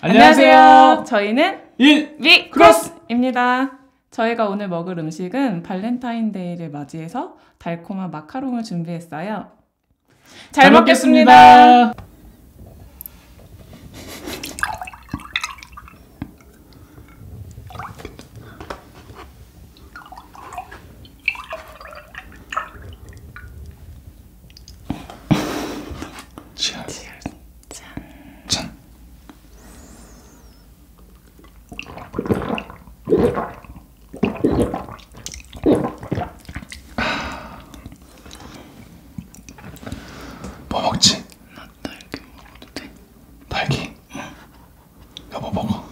안녕하세요. 저희는 일위 크로스입니다. 저희가 오늘 먹을 음식은 발렌타인데이를 맞이해서 달콤한 마카롱을 준비했어요. 잘, 잘 먹겠습니다. 먹겠습니다. 짠. 뭐 먹지? 나 딸기 먹어도 돼? 딸기? 응. 여보 뭐 먹어.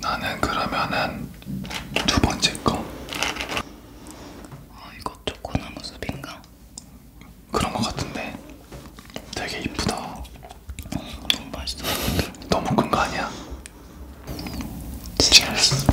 나는 그러면은 두 번째 거. 아 이거 초코나무 숲인가? 그런 거 같은데. 되게 이쁘다. 너무 맛있어. 너무 큰 거 아니야? 진짜 맛있어.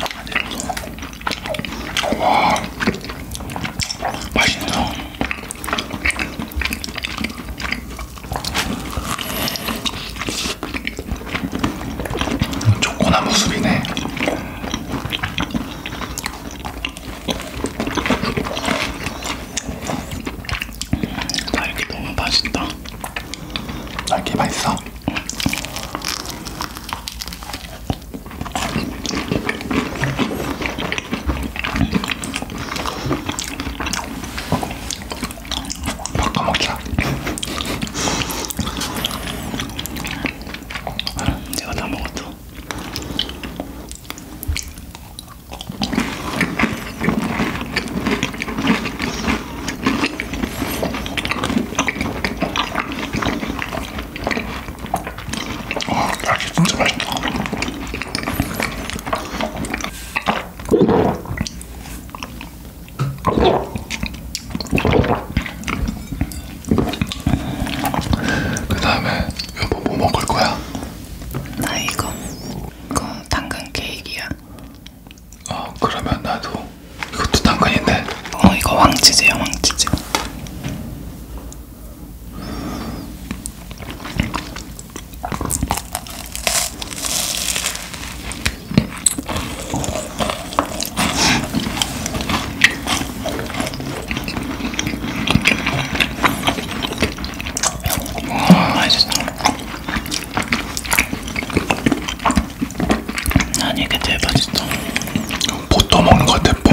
아, 내 무서워. 와 맛있네요 초코나무 숲이네 딸기 너무 맛있다 딸기 아, 맛있어? 바꿔먹자. 내가 다 먹었어. 아, 그 다음에 여보 뭐 먹을 거야? 나 이거 그 당근 케이크야. 어 그러면 나도 이것도 당근인데 어 이거 황치즈야 황치즈 와 아, 맛있어 난 이게 제일 맛있어. 보토 먹는 것 같아, 보토.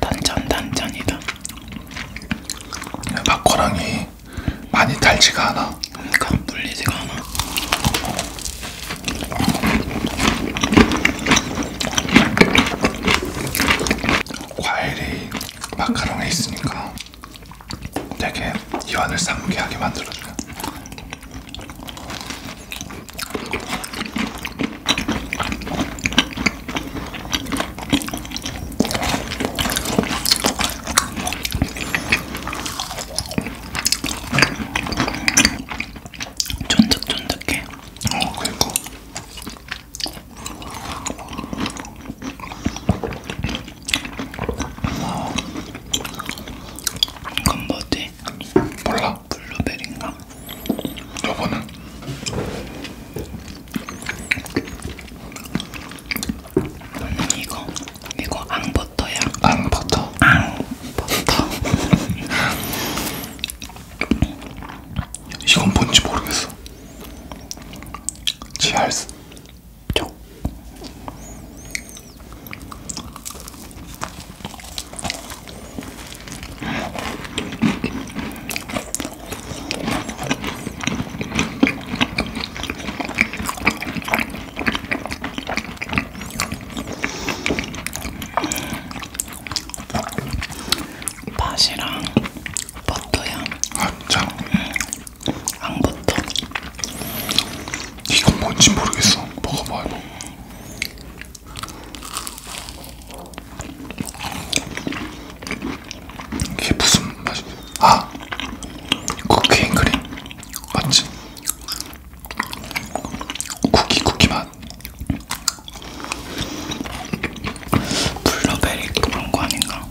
단짠 단짠이다. 막고랑이 많이 달지가 않아. 그러니까 물리지가 않아. 과일이 마카롱에 있으니까 되게 입안을 상쾌하게 만들어줘요. 쫀득쫀득해. 어, 그리고 어, 이건 뭐지? 몰라. 블루베리인가? 저거는 음, 이거 이거 앙버터야. 앙버터. 앙버터. 이건 뭔지 모르겠어. 치알스. 쪽. 팥이랑 버터야. 아, 참. 응. 안 버터. 이건 뭔지 모르겠어. 먹어봐, 이거. 이게 무슨 맛이지? 아! 쿠키 앤 크림 맞지? 쿠키 쿠키 맛 블루베리 그런 거 아닌가?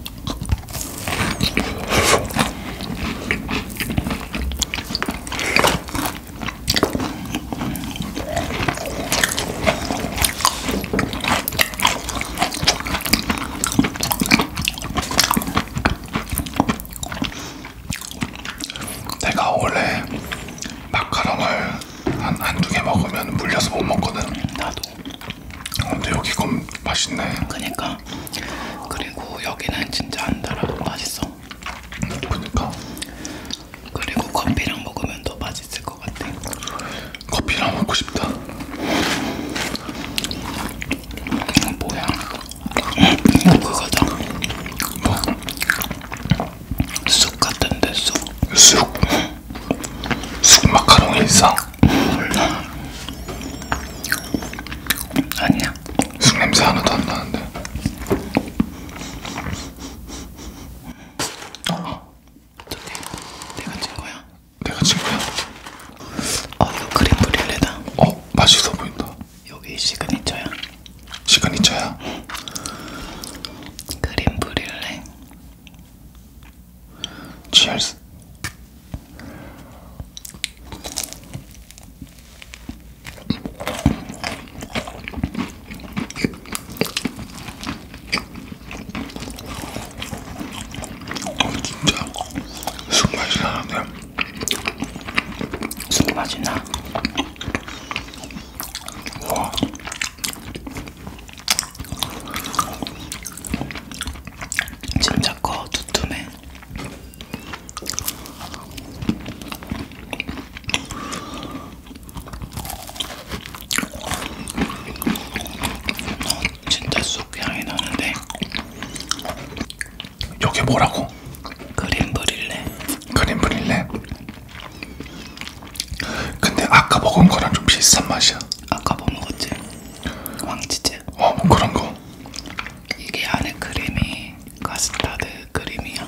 내가 원래 마카롱을 한 한두 개 먹으면 물려서 못 먹거든. 나도. 어, 근데 여기 건 맛있네. 그니까. 그리고 여기는 진짜 안 달아도 맛있어. 그니까. 그리고 커피랑 먹으면 더 맛있을 것 같아. 커피랑 먹고 싶다. 이거 뭐야? 이거 그거다. 뭐? 쑥 같은데 쑥. 쑥. 쑥 마카롱 일상. 몰라. 아니야. 쑥 냄새 하나도 안 나는데. 어. 내가 찐 거야? 내가 찐 거야? 어 이거 크림 브릴레다. 어 맛있어 보인다. 여기 시그니처야. 시그니처야? 크림 브릴레. 치얼스. 어, 진짜 숙맛이 나는데 숙맛이 나? 와 진짜 커 두툼해 진짜 쑥향이 나는데 이게 뭐라고? 크림 브릴레 크림 브릴레? 근데 아까 먹은 거랑 좀 비슷한 맛이야 아까 먹은 거지? 왕치즈? 어뭐 그런 거 이게 안에 크림이 카스타드 크림이야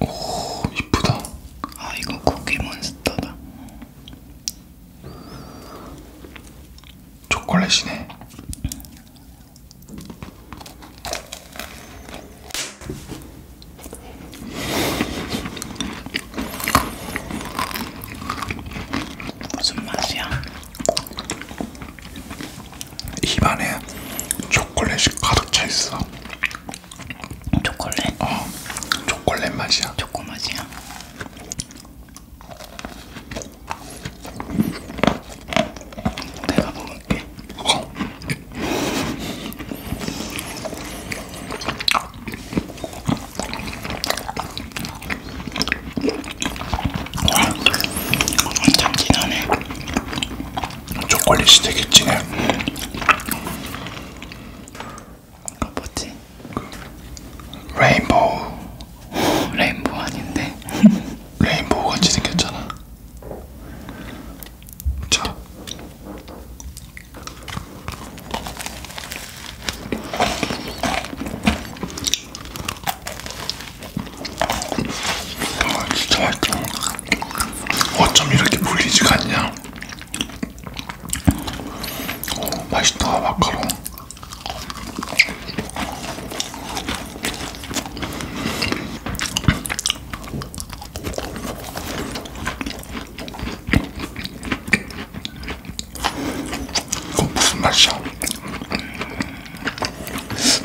오 이쁘다. 아 이거 쿠키 몬스터다. 초콜릿이네. 무슨 맛이야? 입안에 초콜릿이 가득 차 있어. 초콜릿? 어 초콜릿 맛이야 초코 맛이야 내가 먹을게 어. 참 진하네 초콜릿이 되게 진해 그 뭐지? 그 레인보우 레인보우 아닌데? 레인보우 같이 생겼잖아 자와 아, 진짜 맛있다 어쩜 이렇게 불리지가 않냐 맛있다 마카롱 이거 무슨 맛이야?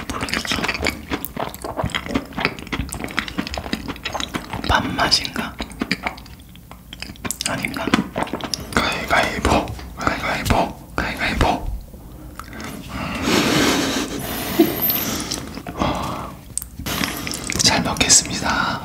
모르겠어. 밥맛인가? 아닌가? 가위가위보 가위가위보 가위가위보 음. 어. 잘 먹겠습니다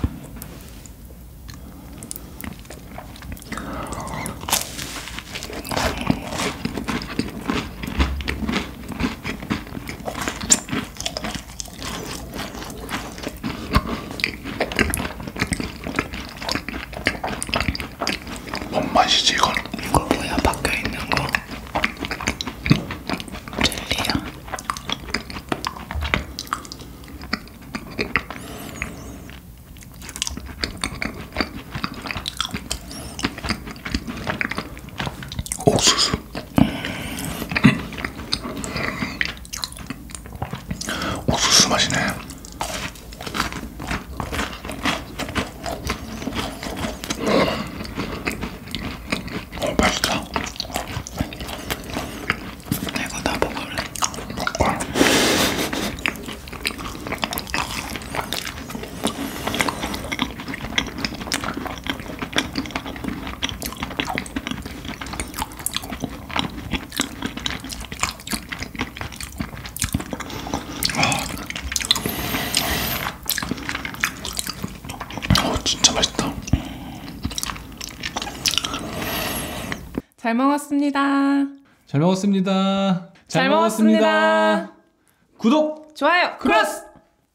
뭔 맛이지 이건? 이거 뭐야 박혀 있는 거? 젤리야? 옥수수 음. 옥수수 맛이네. 어, 맛있다. 이거 다 먹을래? 먹어. 어, 진짜 맛있다. 잘 먹었습니다. 잘 먹었습니다. 잘, 먹었습니다. 구독, 좋아요. 크로스!